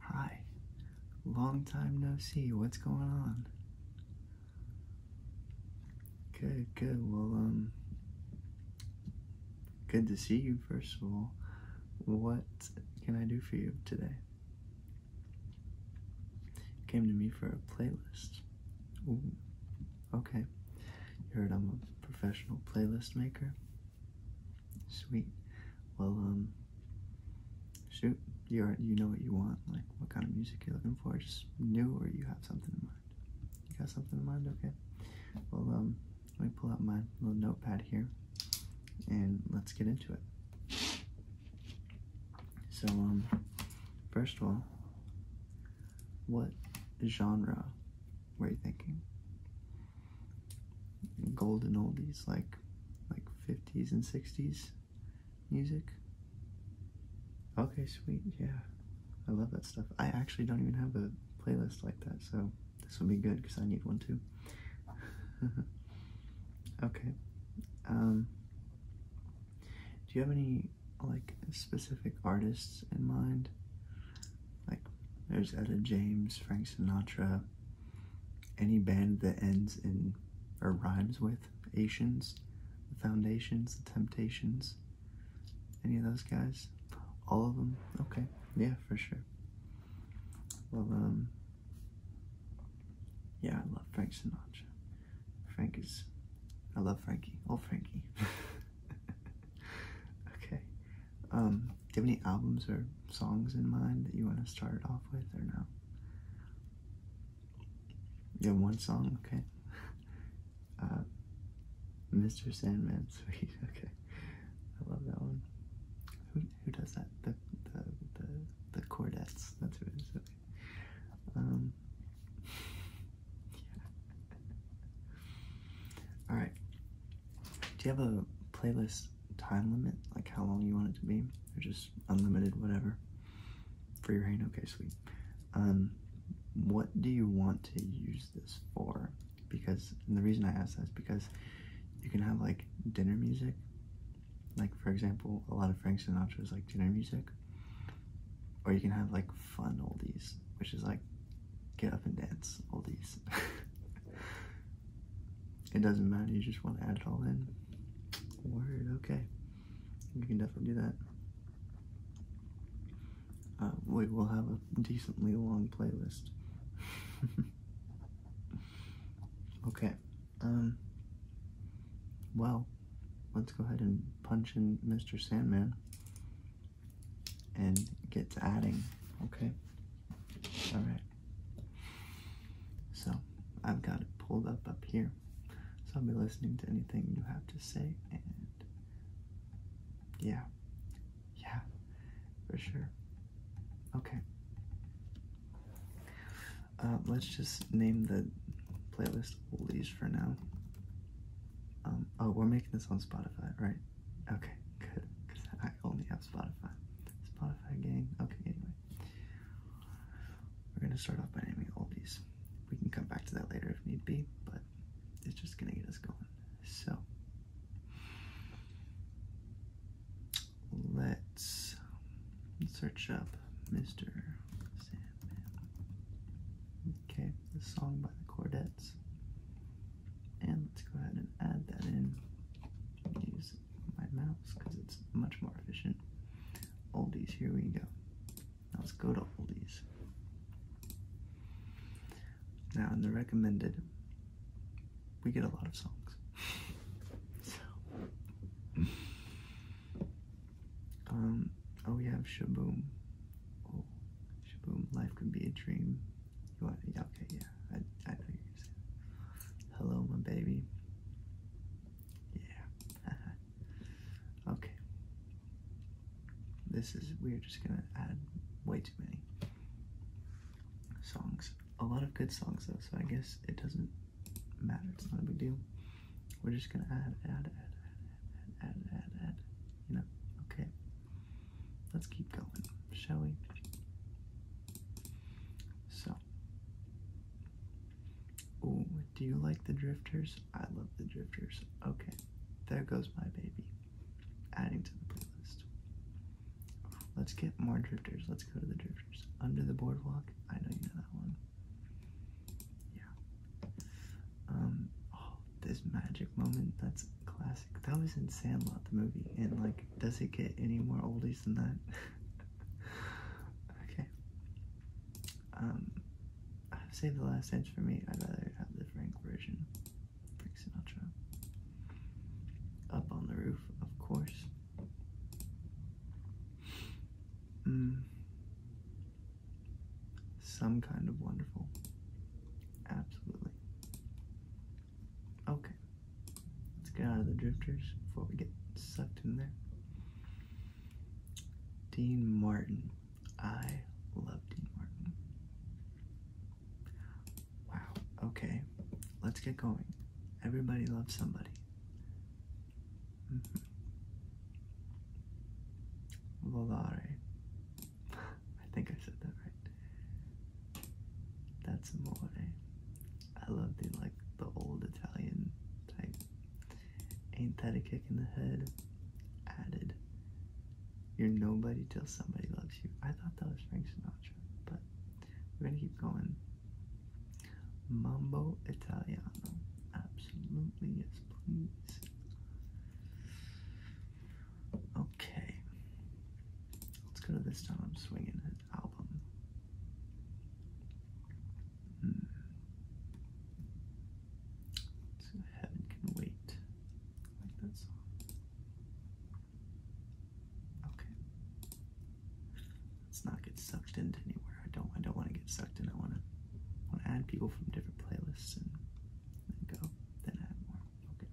Hi, long time no see. What's going on? Good, good. Well, um, good to see you, first of all. What can I do for you today? Came to me for a playlist okay. You heard I'm a professional playlist maker. Sweet. Well, um, shoot, you are, you know what you want, like what kind of music you're looking for. Just new, or you have something in mind. You got something in mind? Okay. Well, um, let me pull out my little notepad here, and let's get into it. So, um, first of all, what genre were you thinking? Golden oldies, like, like 50s and 60s music? Okay, sweet, yeah. I love that stuff. I actually don't even have a playlist like that, so this will be good because I need one too. okay. Um, do you have any like specific artists in mind. Like there's Etta James, Frank Sinatra, any band that ends in or rhymes with Asians, the Foundations, the Temptations, any of those guys? All of them? Okay, yeah, for sure. Well, um, yeah, I love Frank Sinatra. Frankie's, I love Frankie, oh Frankie. okay, um, do you have any albums or songs in mind that you want to start off with or no? You have one song, okay. Uh, Mr. Sandman, sweet, okay. I love that one. Who, who does that? The, the, the, the Cordettes, that's who it is, okay. Um, yeah. All right. Do you have a playlist time limit, like how long you want it to be, or just unlimited, whatever? Free your okay, sweet. Um, what do you want to use this for? Because the reason I ask that is because you can have like dinner music, like for example, a lot of Frank Sinatra's like dinner music, or you can have like fun oldies, which is like get up and dance all these. it doesn't matter, you just want to add it all in. Word, okay. You can definitely do that. Uh, we will have a decently long playlist. okay. Um, well, let's go ahead and punch in Mr. Sandman and get to adding, okay? All right. So I've got it pulled up up here. So I'll be listening to anything you have to say and yeah, yeah, for sure. Okay. Um, let's just name the playlist oldies for now. Um, oh, we're making this on Spotify, right? Okay, good. Because I only have Spotify. Spotify gang. Okay, anyway. We're going to start off by naming oldies. We can come back to that later if need be, but it's just going to get us going. So, let's search up Mr. Sam. Okay, the song by the Cordettes. And let's go ahead and add that in. Use my mouse because it's much more efficient. Oldies, here we go. Now let's go to oldies. Now in the recommended, we get a lot of songs. so um, oh, we have Shaboom. Oh, Shaboom, life can be a dream. You want, yeah, okay, yeah, I, I know you're saying Hello, my baby. Yeah. okay. This is, we're just gonna add way too many songs. A lot of good songs though, so I guess it doesn't matter. It's not a big deal. We're just gonna add, add, add, add, add, add, add, add. You know, okay. Let's keep going, shall we? So, oh, do you like the drifters? I love the drifters. Okay, there goes my baby. Adding to the playlist. Let's get more drifters. Let's go to the drifters. Under the boardwalk. I know you know that one yeah. Um, oh, this magic moment, that's classic. That was in Sandlot, the movie, and like, does it get any more oldies than that? okay. Um, I've saved the last inch for me. I'd rather have the Frank version. Frank Sinatra. Up on the roof, of course. Mm. Some kind of wonderful. Absolutely. Okay. Let's get out of the drifters before we get sucked in there. Dean Martin. I love Dean Martin. Wow. Okay. Let's get going. Everybody loves somebody. Mm I think I said that right. That's amore. Eh. I love the like the old Italian type. Ain't that a kick in the head? Added. You're nobody till somebody loves you. I thought that was Frank Sinatra, but we're gonna keep going. Mambo Italiano. Absolutely, yes, please. Okay. Let's go to this time I'm swinging his album. Hmm. So heaven can wait. like that song. Okay let's not get sucked into anywhere. I don't I don't want to get sucked in. I want to want to add people from different playlists and go then add more. Okay.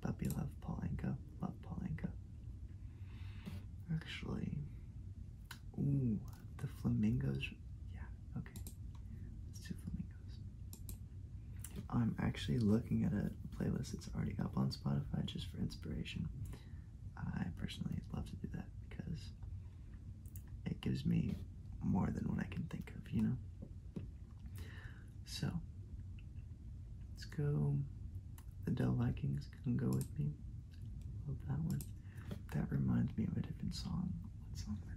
Puppy love Paulinka. Love Paulinka. Actually, ooh, the flamingos. Yeah. Okay. Let's do flamingos. I'm actually looking at a playlist that's already up on Spotify just for inspiration. I personally love to do that because it gives me more than what I can think of, you know? So, let's go. The Dell Vikings can go with me. Love that one. That reminds me of a different song. What song am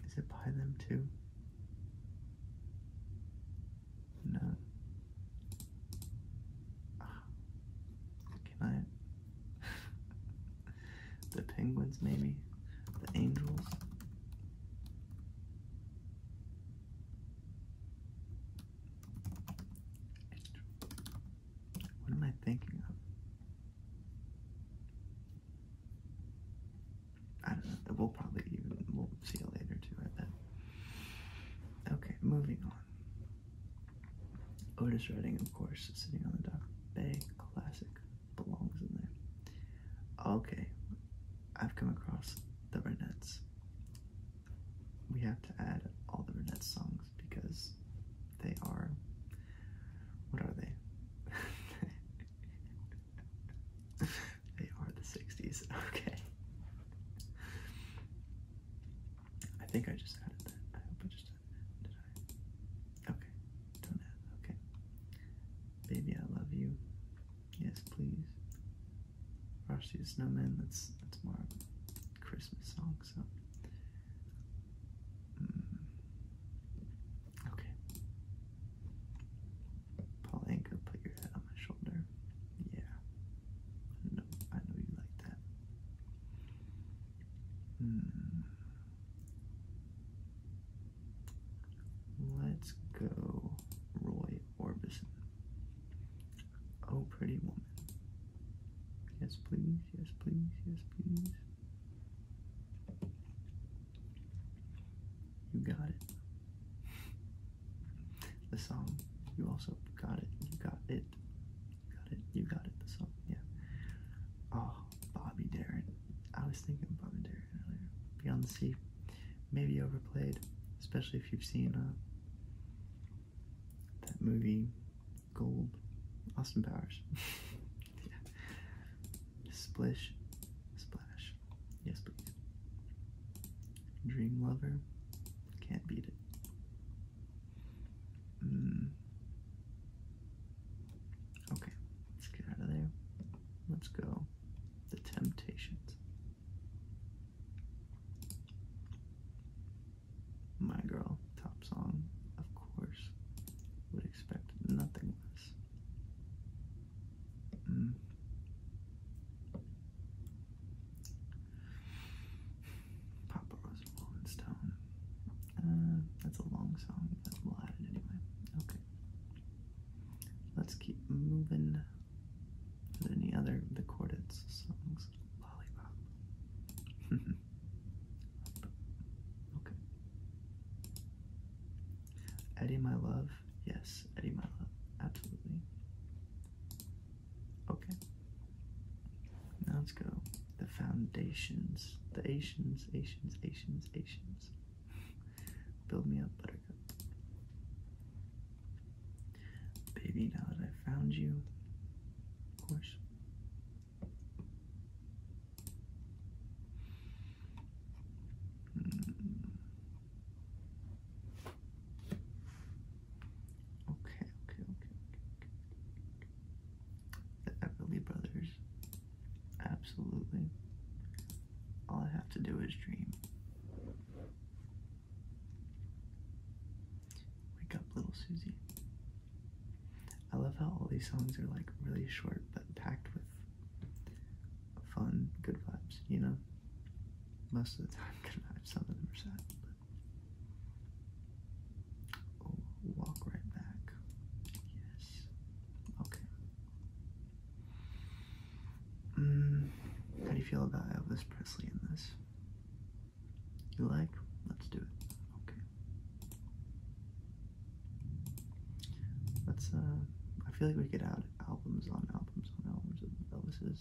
I Is it by them too? No, can ah, I? the penguins, maybe? The angels? What am I thinking of? I don't know. We'll probably even we'll see you later too. I bet. Okay, moving on. Otis Redding, of course, sitting on the dock. Bay classic belongs in there. Okay, I've come across the Renettes. We have to add all the Renettes songs because they are. What are they? they are the 60s. Okay. I think I just added that. I hope I just added that. Did I? Okay. Don't add. Okay. Baby, I love you. Yes, please. Rusty the Snowman. That's that's more Christmas song. So. Hmm. Okay. Paul Anka, put your head on my yeah. No, I know you like that. Hmm. Let's go Roy Orbison. Oh, pretty woman. Yes, please. Yes, please. Yes, please. You got it. The song, you also got it, you got it, you got it, you got it, the song, yeah. Oh, Bobby Darin. I was thinking Bobby Darin earlier. Beyond the Sea, maybe overplayed, especially if you've seen uh, that movie, Gold, Austin Powers. yeah. Splish, Splash, yes please. Dream Lover, can't beat it. Hmm. Okay, let's get out of there. Let's go. The Temptations. My girl, top song, of course. Would expect nothing less. Mm. Papa Rose and Stone. Uh, that's a long song, we'll add it anyway. Okay. Let's keep moving. Are there any other the Chordets songs? Lollipop. okay. Eddie My Love. Yes, Eddie My Love. Absolutely. Okay. Now let's go. The foundations. The Asians, Asians, Asians, Asians. Build me up, buttercup. Baby, now that I found you, of course. Hmm. Okay, okay, okay, okay, The Everly Brothers. Absolutely. All I have to do is dream. Wake up, little Susie. I love how all these songs are like really short but packed with fun, good vibes, you know? Most of the time, good vibes, some of them are sad. Oh, walk right back. Yes. Okay. Mm, how do you feel about Elvis Presley in this? You like? Let's do it. Okay. Let's, uh, I feel like we could add albums on albums on albums of Elvis's.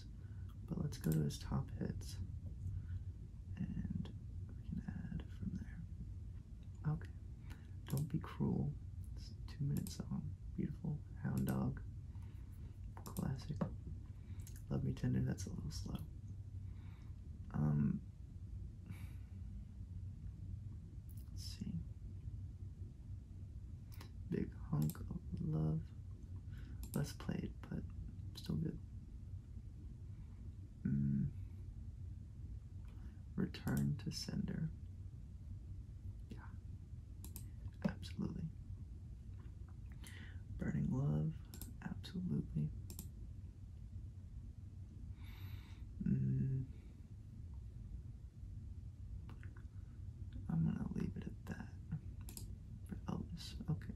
But let's go to his top hits. And we can add from there. Okay. Don't Be Cruel. It's a two minute song. Beautiful. Hound Dog. Classic. Love Me Tender. That's a little slow. Um. Let's see. Big Hunk of Love less played, but still good. Mm. Return to sender. Yeah, absolutely. Burning love, absolutely. Mm. I'm gonna leave it at that for Elvis. Okay.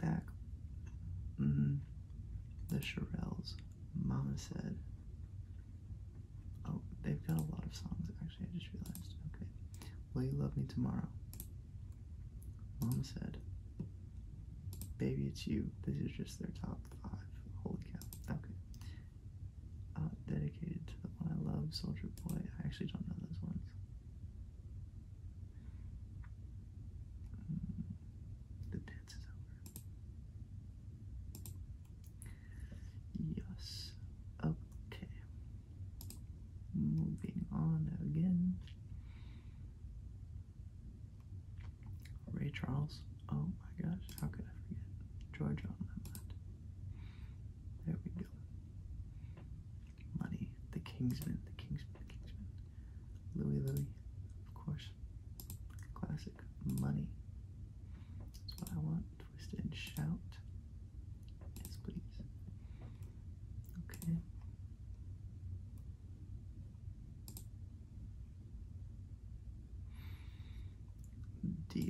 back. Mm-hmm. The Shirelles. Mama said. Oh, they've got a lot of songs actually. I just realized. Okay. Will you love me tomorrow? Mama said. Baby, it's you. This is just their top five. Holy cow. Okay. Uh, dedicated to the one I love, Soldier Boy. I actually don't know those ones. Hmm. the dance is over. Yes. Okay. Moving on again. Ray Charles. Oh my gosh, how could I forget? George on my there we go. Money. The Kingsman. The Kingsman. The Kingsman. Louis Louis. Of course. Classic. Money. That's what I want. Twisted and shout. Yes, please. Okay.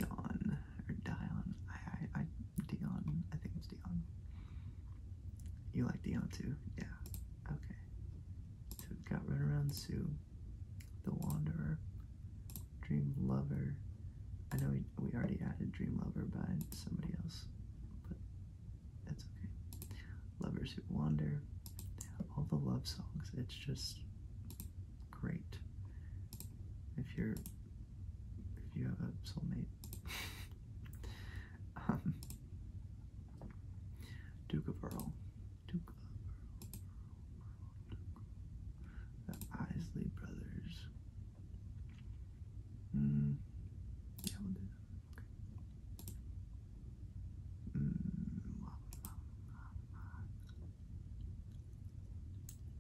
Dion or Dion. I Dion. I think it's Dion. You like Dion too? Yeah. Okay. So we've got Runaround Sue, The Wanderer, Dream Lover. I know we, we already added Dream Lover by somebody else, but that's okay. Lovers Who Wander. All the love songs. It's just great. If you're if you have a soulmate. um, Duke of Earl. The Isley brothers. Mm. Yeah, we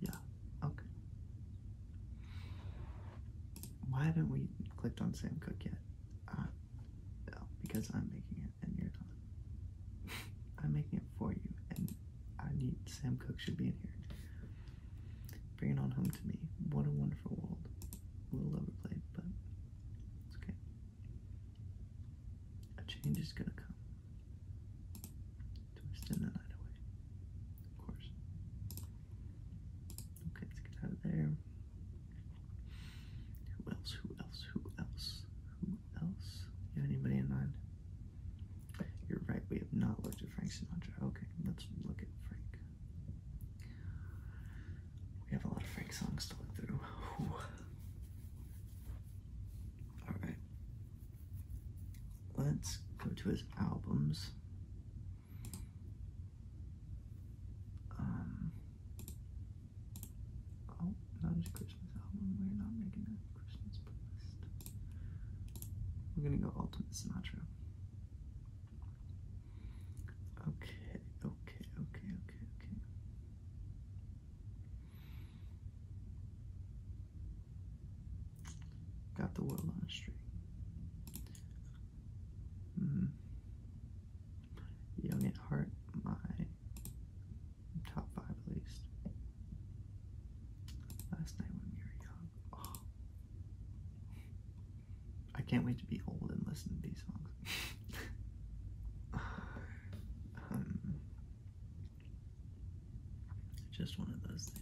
yeah, okay. Why haven't we clicked on Sam Cook yet? no, uh, because I'm making it and you're not. I'm making it for you and I need Sam Cook should be in here. Bringing on home to me. What a wonderful world. A little overplayed, but it's okay. A change is gonna come to extend that line away, of course. Okay, let's get out of there. Who else? Who else? Who else? Who else? You have anybody in mind? You're right, we have not looked at Frank Sinatra. Okay, let's look at Frank. We have a lot of Frank songs to look through. Alright, let's go to his albums. Um, oh, not his Christmas album. We're not making a Christmas playlist. We're gonna go Ultimate Sinatra. okay, okay, okay, okay. Got the world on a string. Mm. Mm-hmm. Young at heart, my top five at least. Last night when we were young. Oh. I can't wait to be old and listen to these songs. Um, just one of those things.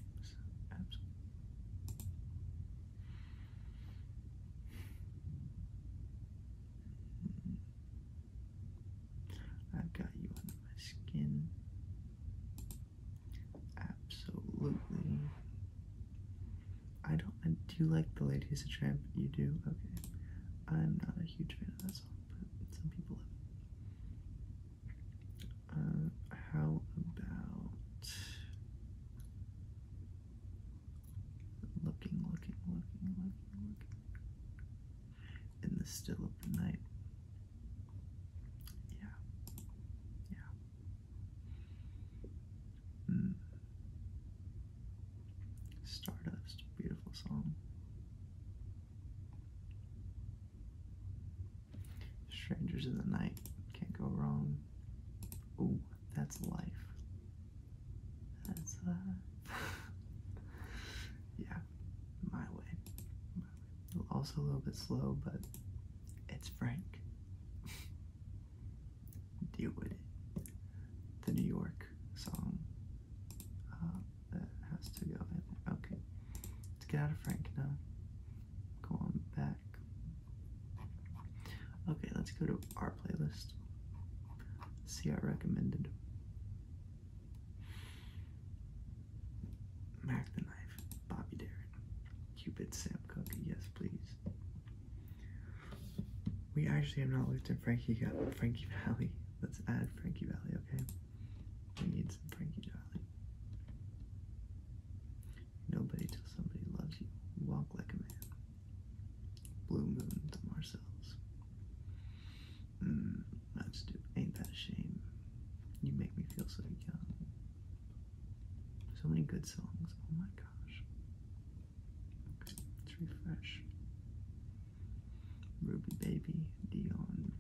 I've got you under my skin. Absolutely. I don't. I, do like the lady's a Tramp? You do. Okay. I'm not a huge fan of that song, but some people uh, how about looking, looking, looking, looking, looking in the still of the night? Yeah, yeah. Hmm. Stardust, beautiful song. Strangers in the night. Can't go wrong. Ooh, that's life. That's uh Yeah. My way. Also a little bit slow, but it's Frank. Deal with it. The New York song. Um, that has to go in there. Okay. Let's get out of Frankie now. Go on back. Okay, let's go to our playlist. See our recommended. Mac the Knife, Bobby Darren, Cupid Sam Cooke, yes please. We actually have not looked at Frankie yet. Frankie Valley. Let's add Frankie Valley, okay? We need some Frankie Darling. Nobody till somebody loves you. Walk like a man. Blue Moon to Marcel's. Mmm, that's stupid. Ain't that a shame? You make me feel so young. So many good songs. Oh my gosh. Okay, let's refresh. Ruby Baby, Dion,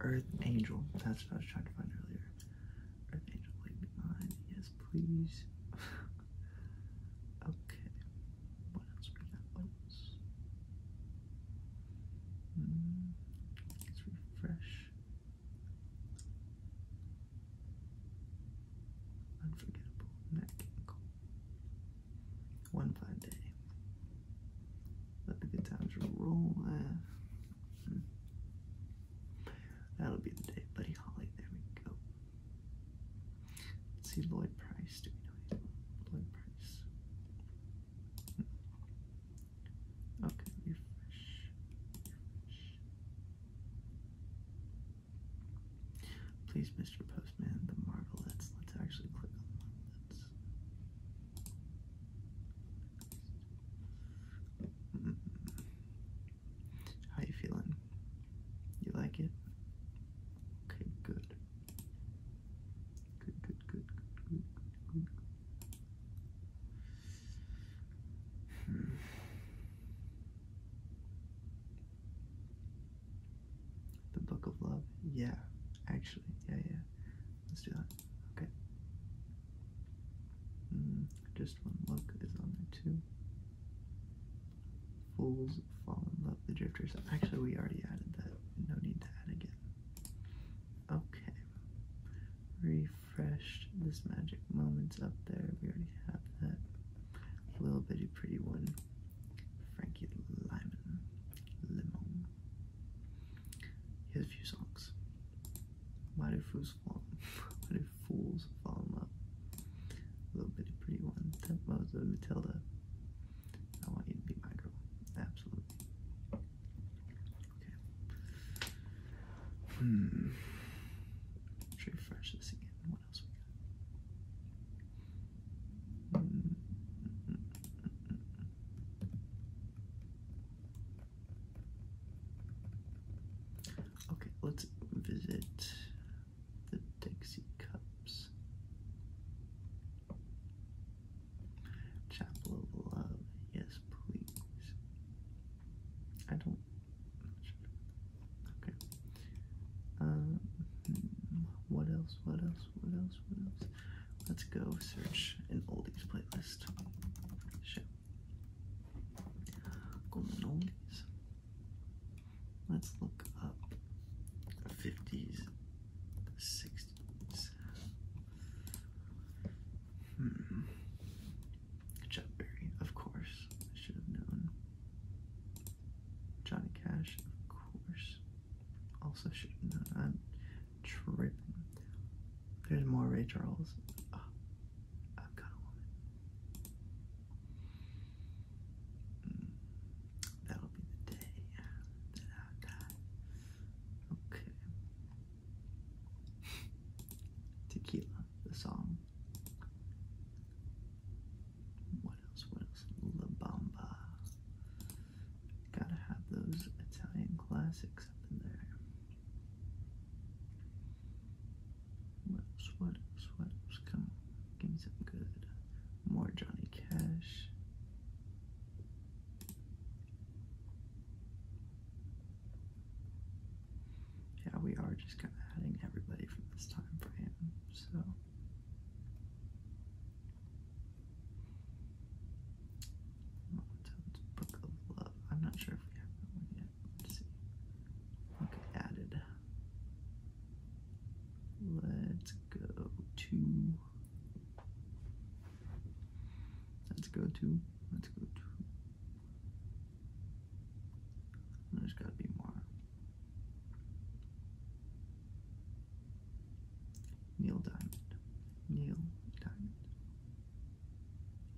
Earth Angel. That's what I was trying to find earlier. Earth Angel, leave me mine. Yes, please. okay. What else What else? Mm, let's refresh. Unforgettable. Neck. Cool. One fine day. Let the good times roll. Ah. Hmm. That'll be the day. Buddy Holly, there we go. Let's see Lloyd Price. Do we know Lloyd Price. Hmm. Okay, refresh. Refresh. Please, Mr. Postman, the Marvelettes. Let's actually click on the mm-hmm. How you feeling? You like it? Okay, good. Good, good, good, good, good, good, hmm. The Book of Love? Yeah, actually. Yeah, yeah. Let's do that. Okay. Hmm, just one look is on there too. Fools fall in love, the drifters. Actually, we already added that. No need to add again. Okay. Refreshed this magic moments up there. We already have that. Little bitty pretty one. Frankie Lyman, Limon. Here's a few songs. Why do fools fall? Why do fools fall in love? A little bitty pretty one. That of a Matilda. I want you to be my girl. Absolutely. Okay. Hmm. refresh this again. Okay, let's visit the Dixie Cups. Chapel of Love, yes, please. I don't. Um, what else? What else? What else? What else? Let's go search an oldies playlist. Shit. Golden oldies. Let's look up 50s, 60s. Hmm. Chuck Berry, of course. I should have known. Johnny Cash, of course. Also, should I'm tripping. There's more Ray Charles. I've got a woman. That'll be the day Okay. Tequila, the song. What else? What else? La Bamba. Gotta have those Italian classics up in there. What What What Come on, give me something good. More Johnny Cash. Yeah, we are just kind of adding everybody from this time frame, so. Book of Love. I'm not sure if we have that one yet. Let's see. Okay, added. Let's go to. Let's go to. Let's go to. There's got to be more. Neil Diamond. Neil Diamond.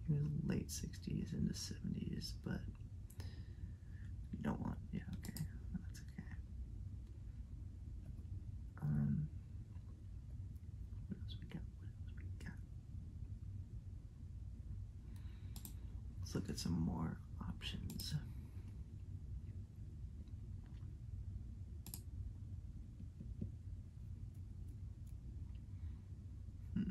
He was late 60s into 70s, but you don't want, yeah, okay, that's okay. Um, what else we got? What else we got? Let's look at some more options. Hmm.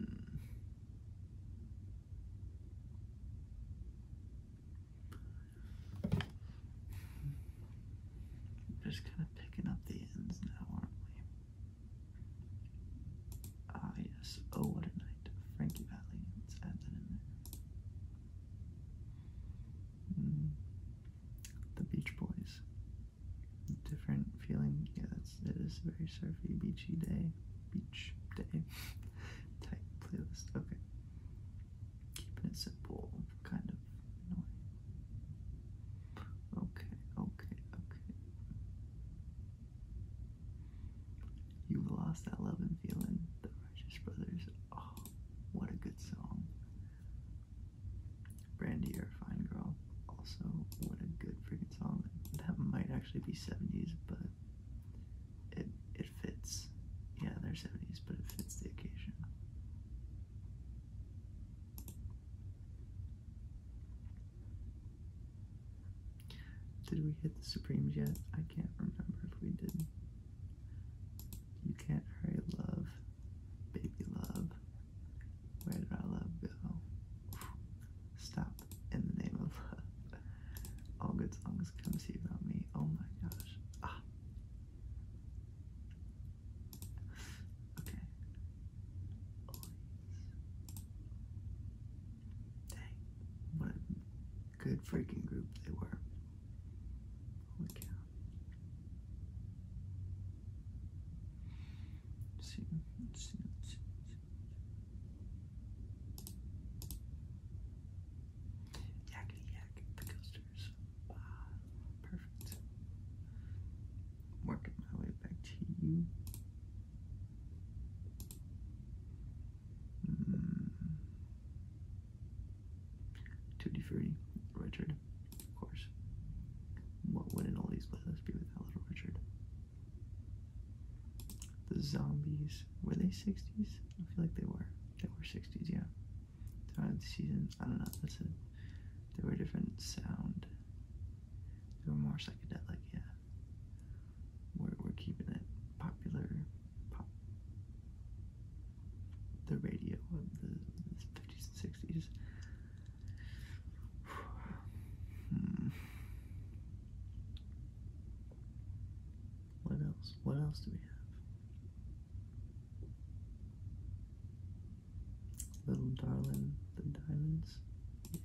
just kind of picking up the ends now, aren't we? Ah, yes. Oh, what a night. Frankie Valley. Let's add that in there. Hmm. The Beach Boys. Different feeling. Yeah, that's, it is very surfy, beachy day. Beach day type playlist. Okay. Keeping it simple, kind of. Okay, okay, okay. You've lost that love and feeling. The Righteous Brothers. Oh, what a good song. Brandy, you're a fine girl. Also, what a good freaking song. That might actually be 70s, but it it fits. Yeah, they're 70s, but it fits the occasion. Did we hit the Supremes yet? I can't remember if we did. You can't hurry love, baby love. Where did our love go? Stop in the name of love. All good songs come see about me. Oh my gosh. Ah. Okay. Dang, what a good freaking group they were. Holy cow. let Yakety yak, the coasters. Ah, perfect. Working my way back to you. Hmm. Tutti Frutti, Richard, of course. What would all these places be without Little Richard? The zombies, were they 60s? I feel like they were. They were 60s, yeah. Throughout the season, I don't know, that's it. They were different sound. They were more psychedelic, yeah. We're, we're keeping it popular the radio of the 50s and 60s. Hmm. What else? What else do we have? Little Darling, the Diamonds. Yeah.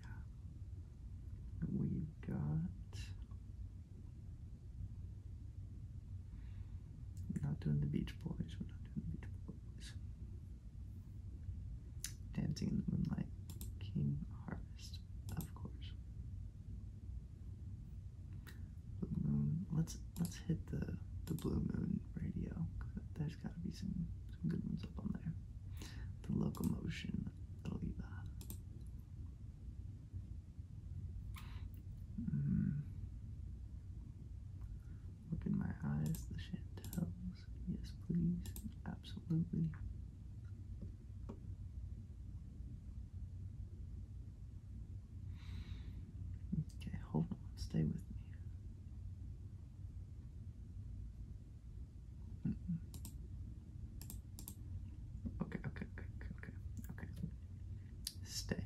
we got we're not doing the Beach Boys. We're not doing the Beach Boys. Dancing in the Moonlight. King Harvest, of course. Blue Moon. Let's let's hit the the Blue Moon radio. There's got to be some some good ones up on there. The Locomotion. That'll be that. Look hmm. in my eyes, the chantels. Yes, please. Absolutely. Okay, hold on. Stay with me. Okay, okay, okay, okay, okay. Stay.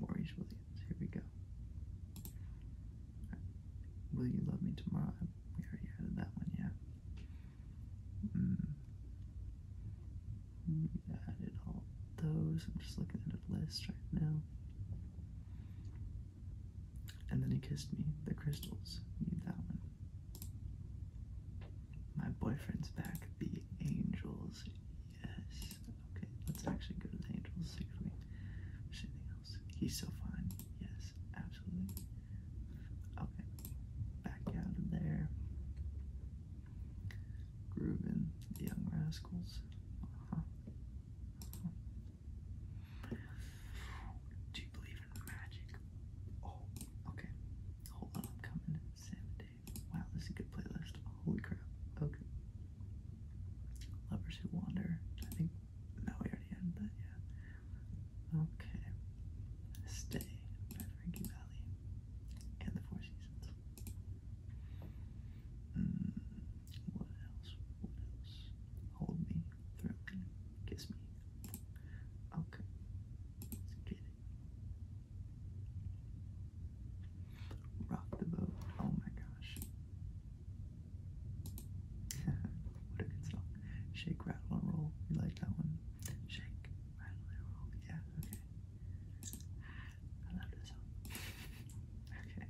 Maurice Williams, here we go. Will you love me tomorrow? We already added that one, yeah. We hmm. added all those. I'm just looking at a list right now. And then he kissed me. The crystals. Need that one. My boyfriend's back. The Angels. Yes. Okay, let's actually go to the Angels. See if anything else. He's so fine. Yes, absolutely. Okay, back out of there. Groovin, the Young Rascals. Uh-huh. Uh-huh. Do you believe Magic. Oh, okay. Hold on, I'm coming. Wow, this is a good playlist. Holy crap. Okay. Lovers Who Wander. I think. No, we already had that, yeah. Okay. Stay by Frankie Valley. And the Four Seasons. Mm, what else? What else? Hold me, throw me, kiss me. Okay. Rock the boat. Oh my gosh. what a good song. Shake, rattle, and roll. You like that one? Shake, rattle, and roll. Yeah, okay. I love this song. okay.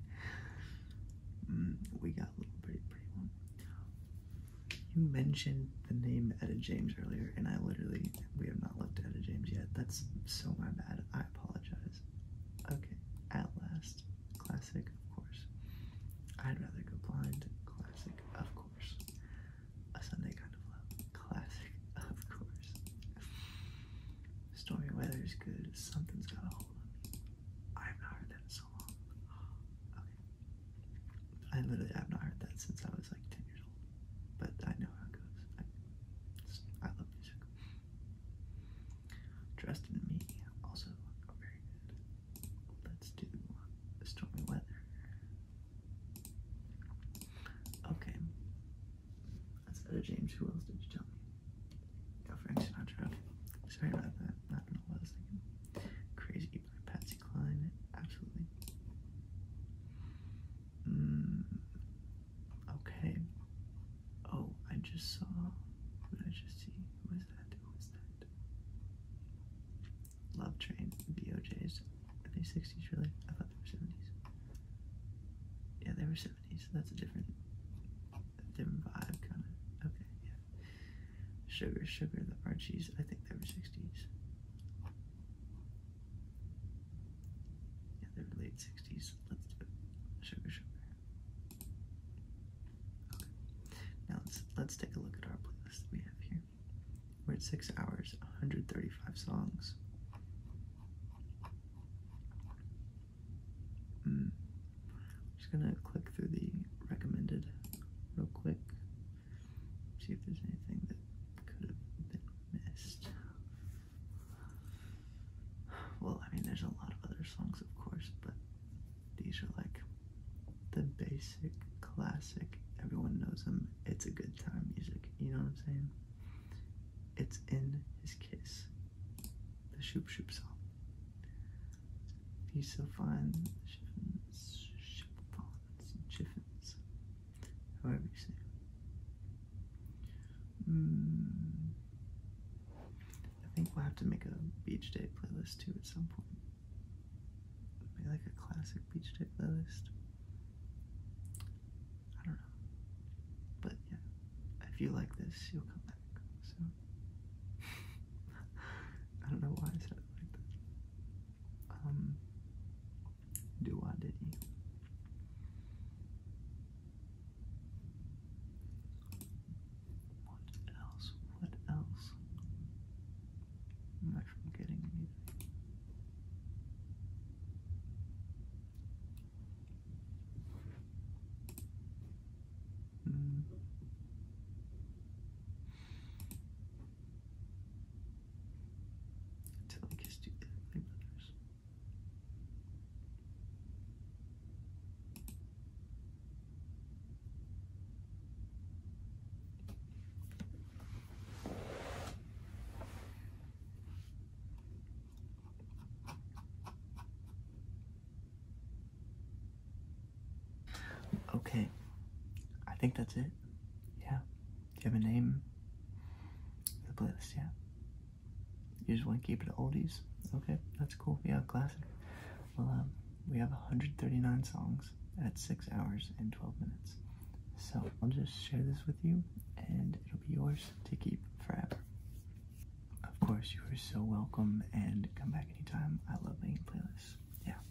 Mm, we got a little pretty, pretty one. You mentioned the name Etta James earlier, and I literally, we have not looked at Etta James yet. That's so my bad. I apologize. Okay, At Last, classic, of course. I'd Rather Go Blind, classic, of course. A Sunday Kind of Love, classic, of course. Stormy Weather is good. Something's Got a Hold on Me. I have not heard that in so long. Okay. I literally have not heard that since I was like 10 years old, but I know how it goes. I, love music. Trust in me, also very Let's do stormy weather. Okay. That's out of James. Who else did you tell me? Oh, Frank Sinatra. Okay. Sorry about I don't know what I was Crazy Patsy Cline. Absolutely. Mm, okay. Oh, I just saw. What did I just see? What is that? What is that? Love Train, BOJs. Are they 60s really? I thought they were 70s. Yeah, they were 70s. So that's a different, different vibe, kind of. Okay, yeah. Sugar, Sugar, the Archies. I think they were 60s. Yeah, they're late 60s. Let's do it. Sugar, sugar. Okay. Now let's let's take a look at our playlist we have here. We're at six hours, 135 songs. Hmm. I'm just gonna click through the recommended real quick. See if there's anything that could have been missed. Well, I mean, there's a lot of other songs, of course, but these are like the basic, classic, everyone knows them, it's a good time music. You know what I'm saying? It's in his kiss. The Shoop Shoop song. He's so fine marlins and chiffins, however you say it. Hmm. I think we'll have to make a beach day playlist too at some point. Maybe like a classic beach day playlist. I don't know. But yeah, if you like this, you'll come back. So I don't know why I said like that um, do I did you? What else? What else? am not forgetting anything. Mm. Until I kissed you my brothers. Okay, I think that's it. Yeah. Do you have a name for the playlist? Yeah. You just want to keep it oldies? Okay, that's cool. Yeah, classic. Well, um, we have 139 songs at 6 hours and 12 minutes. So I'll just share this with you and it'll be yours to keep forever. Of course, you are so welcome and come back anytime. I love making playlists. Yeah.